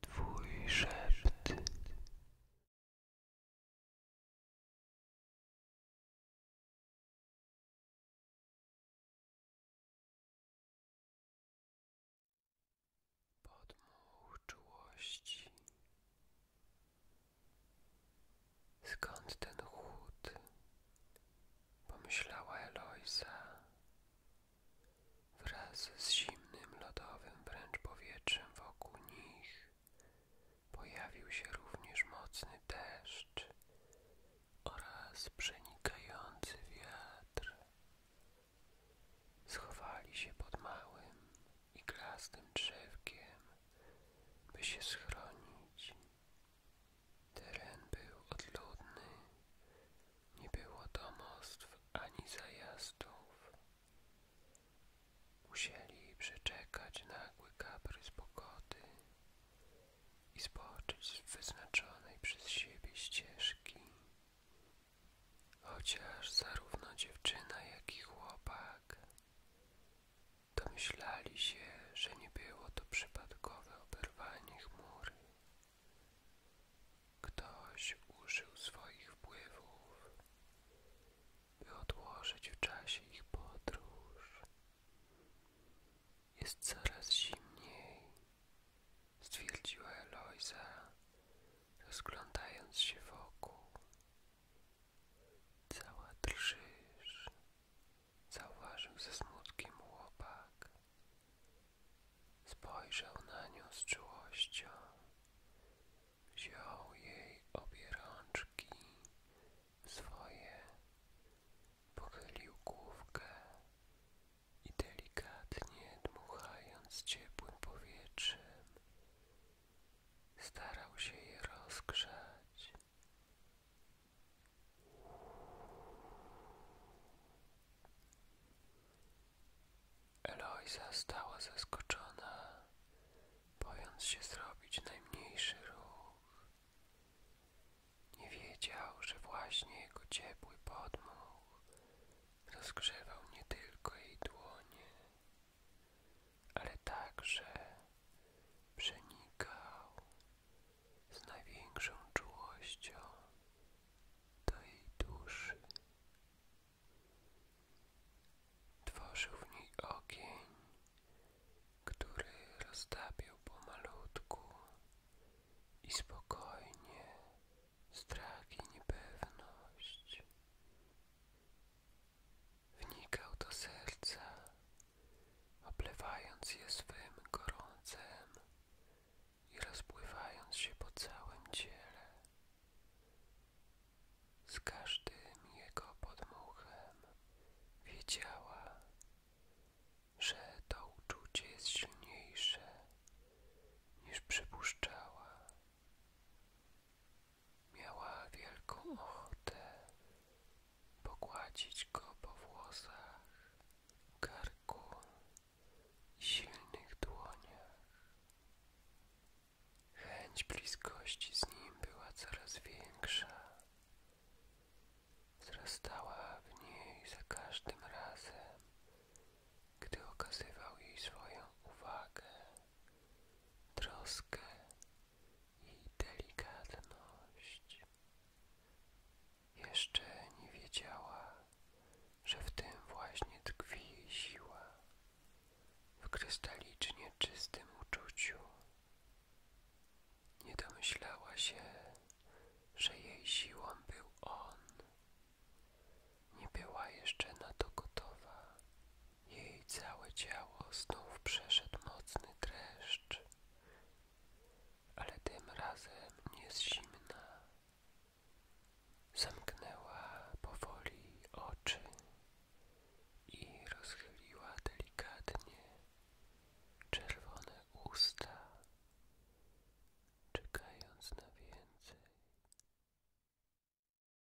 Twój szept. czułości. Skąd ten chłód? Pomyślała Eloisa. Wraz z zimnym, lodowym wręcz powietrzem wokół nich pojawił się również mocny deszcz oraz przenikający wiatr. Schowali się pod małym i glastym drzewkiem, by się schronić Teren był odludny, nie było domostw ani zajazdów. Musieli przeczekać nagły kaprys pogody i spoczyć z wyznaczonej przez siebie ścieżki. Chociaż zarówno dziewczyna, jak i chłopak domyślali się, że nie było to przypadkowe oberwanie chmury. Ktoś użył swoich wpływów, by odłożyć w czasie ich podróż. Jest coraz zimniej, stwierdziła Eloisa, rozglądając się wokół. Cała drżysz, zauważył ze smutkiem łopak, Spojrzał na nią z czułością, wziął jej obie rączki swoje, pochylił główkę i delikatnie dmuchając ciepłym powietrzem starał się je rozgrzać. Eloisa stała zaskoczona, bojąc się zrobić najmniejszy ruch. Nie wiedział, że właśnie jego ciepły podmuch rozgrzewał nie tylko jej dłonie, ale także przenikał z największą czułością do jej duszy. Tworzył w niej ogień, który roztapiał pomalutku i spokojnie strach i niepewność. Wnikał do serca, oplewając je swym gorącem i rozpływając się po całym ciele. Z każdym jego podmuchem wiedziała, że to uczucie jest silniejsze niż przypuszczała. Miała wielką ochotę pogładzić go po włosach, karku i silnych dłoniach. Chęć bliskości z nim była coraz większa. Wzrastała w niej za każdym razem, gdy okazywał jej swoją uwagę, troskę i delikatność. Jeszcze nie wiedziała, że w tym właśnie tkwi jej siła, w krystalicznie czystym uczuciu. Nie domyślała się, że jej siłą był on. Nie była jeszcze na to gotowa. Jej całe ciało znów przeszedł mocny dreszcz, ale tym razem nie zimna. Zamknęła powoli oczy i rozchyliła delikatnie czerwone usta, czekając na więcej.